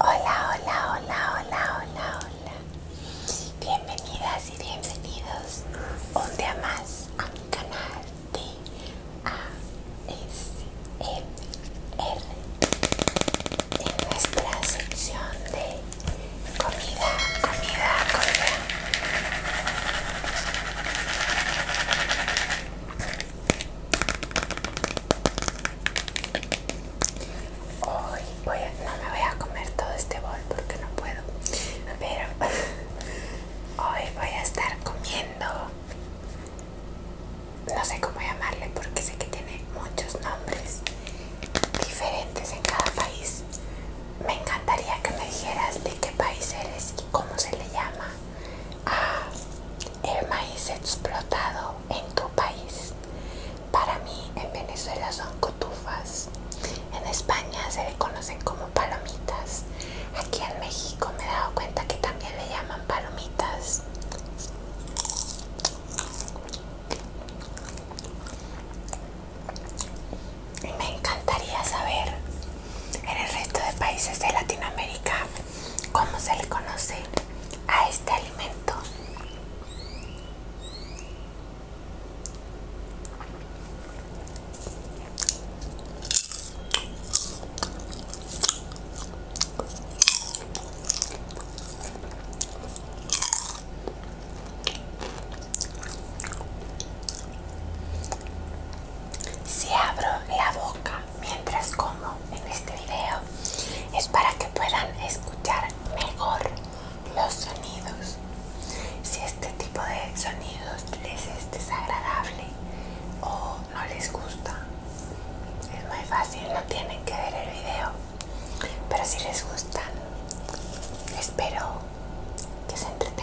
Hola, hola, hola, hola, hola, hola. Bienvenidas y bienvenidos un día más a mi canal de ASMR. En nuestra sección de comida, comida, comida. Hoy voy a, no me voy a comer todo este bol porque no puedo, pero hoy voy a estar comiendo, no sé cómo llamarle porque sé que tiene muchos nombres diferentes en cada país. Me encantaría que me dijeras de qué país eres y cómo se le llama a el maíz explotado en tu país. Para mí en Venezuela son cotufas, en España se le conocen como palomitas, aquí en México me he dado cuenta que también le llaman palomitas. Me encantaría saber en el resto de países de Latinoamérica cómo se le conoce a este alimento. se abro la boca mientras como en este video es para que puedan escuchar mejor los sonidos si este tipo de sonidos les es desagradable o no les gusta es muy fácil no tienen que ver el video pero si les gusta espero que se entretengan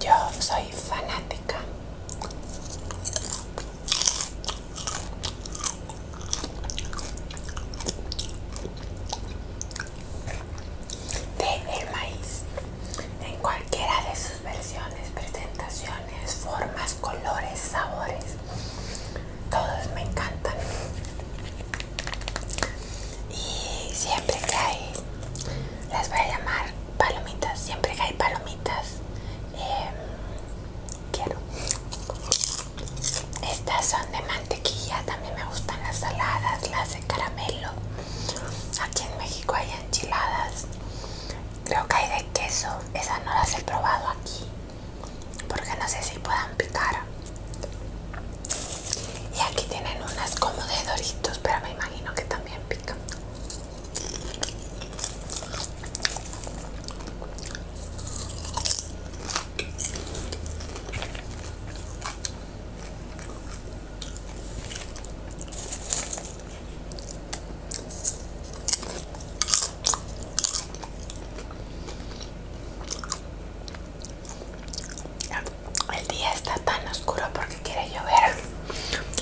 Yo soy fanática de el maíz en cualquiera de sus versiones, presentación formas, colores, sabores. Todos me encantan. Y siempre que hay, las voy a llamar palomitas. Siempre que hay palomitas, eh, quiero. Estas son de mantequilla. También me gustan las saladas, las de caramelo. Aquí en México hay enchiladas Creo que hay de queso. Esas no las he probado aquí. Porque no sé si puedan picar. Y aquí tienen unas como de doritos, pero me imagino que también pican. El día está tan oscuro porque quiere llover.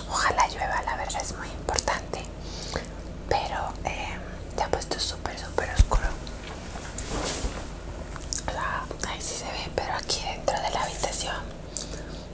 Ojalá llueva, la verdad es muy importante. Pero te eh, ha puesto súper, súper oscuro. O ah, sí se ve, pero aquí dentro de la habitación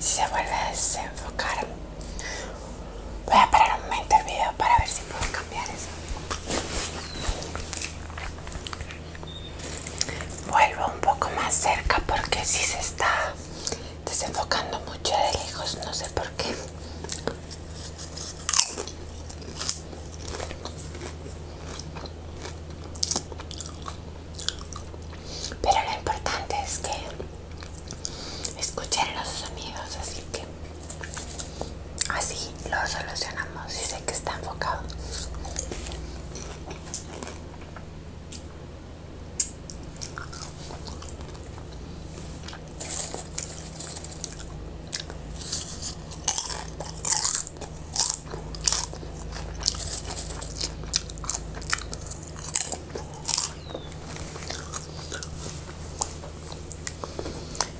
Si se vuelve a desenfocar, voy a parar un momento el video para ver si puedo cambiar eso. Vuelvo un poco más cerca porque si se está desenfocando mucho de lejos, no sé por qué. Pero lo importante es que escuchen los sonidos, así que así lo solucionamos y sé que está enfocado.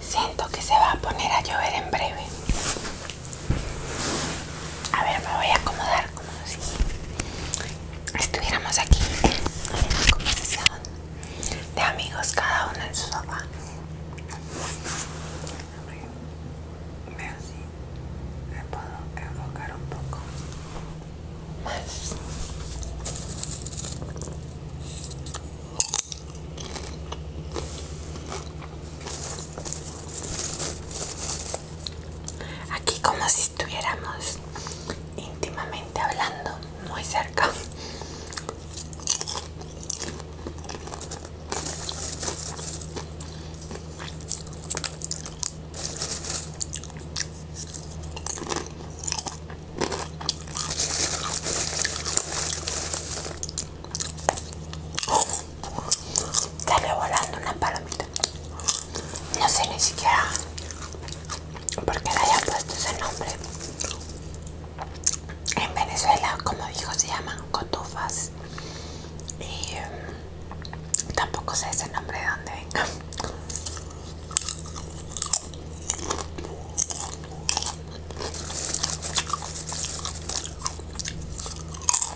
Siento que se va a poner a llover en breve. A ver, me voy a acomodar como si estuviéramos aquí en una conversación de amigos, cada uno en su sofá. Veo si me puedo enfocar un poco más. Aquí como si estuviéramos íntimamente hablando, muy cerca. Está volando una palomita. No sé ni siquiera por qué le haya puesto ese nombre. En Venezuela, como dijo, se llaman cotufas. Y mm, tampoco sé ese nombre de dónde venga.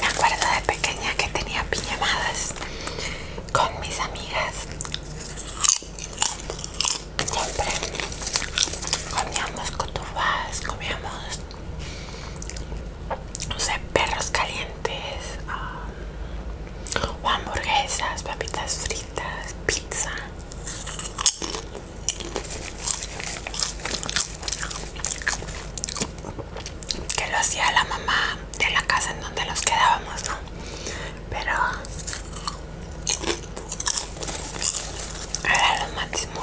Me acuerdo de pequeña que tenía piñamadas con mis amigas comíamos cotufas, comíamos, no sé, perros calientes, um, o hamburguesas, papitas fritas, pizza. Que lo hacía la mamá de la casa en donde los quedábamos, ¿no? Pero era lo máximo.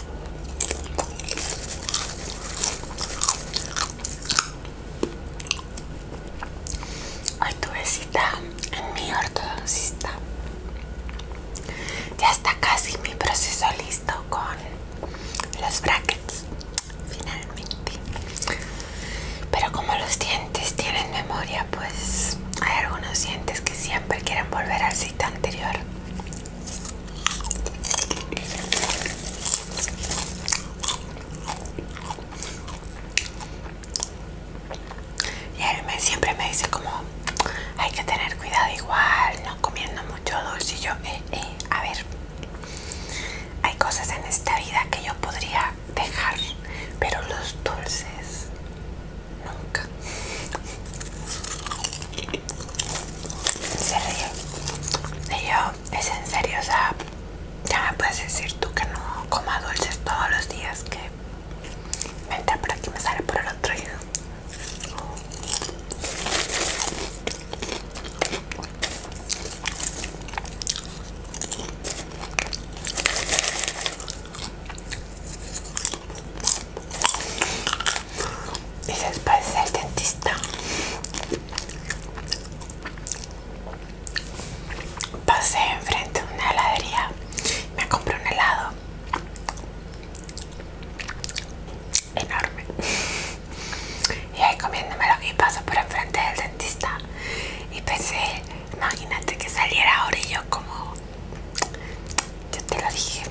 Hoy tuve cita en mi ortodoncista. Ya está casi mi proceso listo con los brackets, finalmente. Pero como los dientes tienen memoria, pues hay algunos dientes que siempre quieren volver al cita anterior. Y él me, siempre me dice como hay que tener cuidado igual, no comiendo mucho dulce. Y yo, eh, eh, a ver, hay cosas en esta vida que yo podría dejar, pero los dulces nunca en serio, yo, es en serio, o sea, ya me puedes decir tú que no coma dulces todos los días, que me entra por aquí, me sale por el otro lado y después el dentista pasé enfrente de una heladería me compré un helado enorme y ahí comiéndomelo y paso por enfrente del dentista y pensé imagínate que saliera ahora y yo como yo te lo dije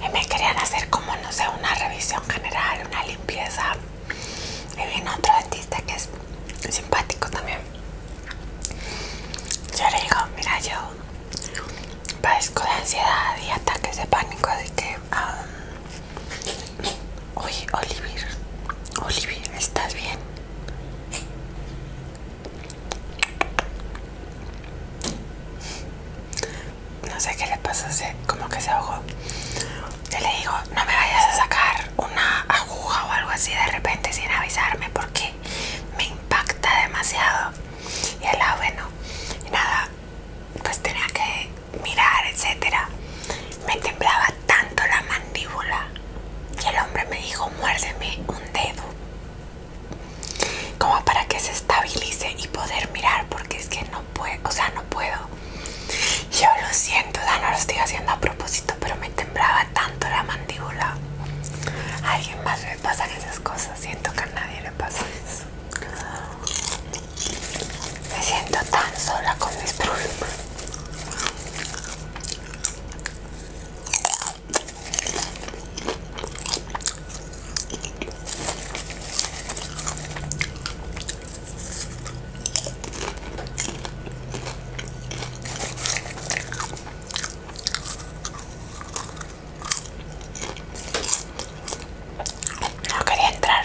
Y me querían hacer como, no sé, una revisión general, una limpieza. Y vino otro artista que es simpático también. Yo le digo, mira, yo padezco de ansiedad y ataques de pánico, así que um, Oye, Olivier, Olivier, ¿estás bien? No sé qué le pasa, como que se ahogó. Yo le digo, no me vayas a sacar una aguja o algo así de repente sin avisarme porque me impacta demasiado. Y el ah, bueno, y nada, pues tenía que mirar, etcétera, me temblaba tanto la mandíbula que el hombre me dijo muérdeme un dedo como para que se estabilice y poder mirar porque es que no puedo, o sea no puedo yo lo siento, Dana lo estoy haciendo a propósito pero me temblaba tanto la mandíbula alguien más le pasan esas cosas siento que a nadie le pasa eso me siento tan sola con mis problemas no quería entrar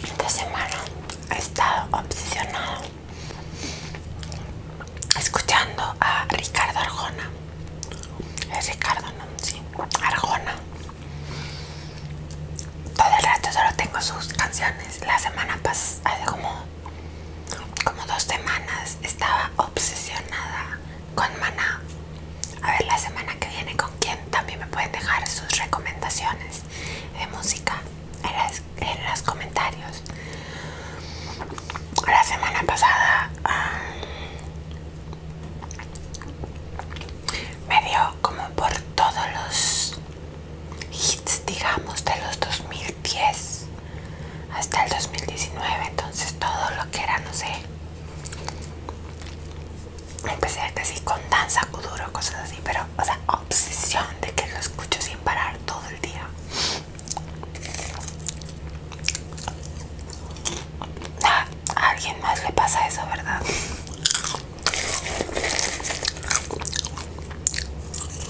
Esta semana he estado obsesionada escuchando a Ricardo Arjona. Es Ricardo, ¿no? Sí, Arjona. Todo el rato solo tengo sus canciones. La semana pasada, hace como, como dos semanas, estaba obsesionada con Maná. A ver la semana que viene con quién también me pueden dejar sus recomendaciones de música en, los comentarios. La semana pasada um, me dio como por todos los hits, digamos, de los 2000 10 hasta el 2019, entonces todo lo que era, no sé, empecé casi con danza, cuduro cosas así, pero, o sea, obsesión de que lo escucho sin parar todo el día. a alguien más le pasa eso, ¿verdad?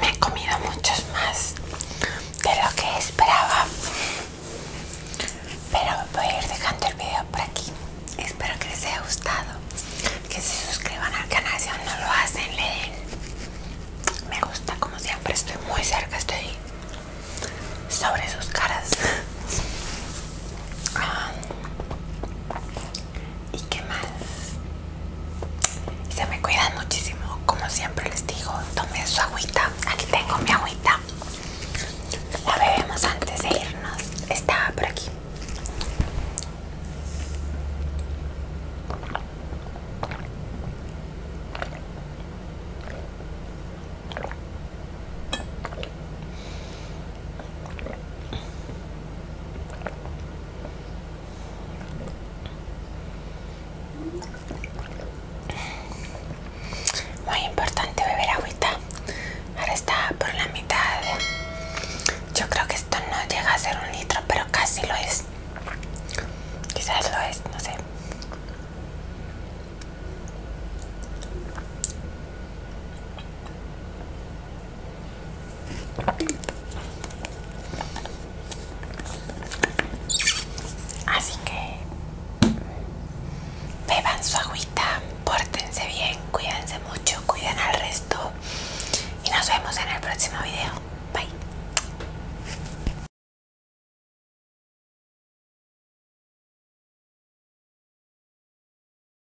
Me he comido muchos más de lo que esperaba. Pero voy a ir dejando el video por aquí. Espero que les haya gustado. Que se suscriban al canal si aún no lo hacen. Le den. Me gusta como siempre. Estoy muy cerca. Estoy sobre sus caras. Ah. ¿Y qué más? se me cuidan muchísimo, como siempre les digo. Tomen su agüita. Aquí tengo mi agüita. La bebemos antes de irnos. Estaba por aquí. Muy importante beber agüita. Ahora está por la mitad. Yo creo que esto no llega a ser un litro, pero casi lo es. Quizás lo es, no sé. Así que beban su agüita, pórtense bien, cuídense mucho, cuiden al resto y nos vemos en el próximo video. Bye.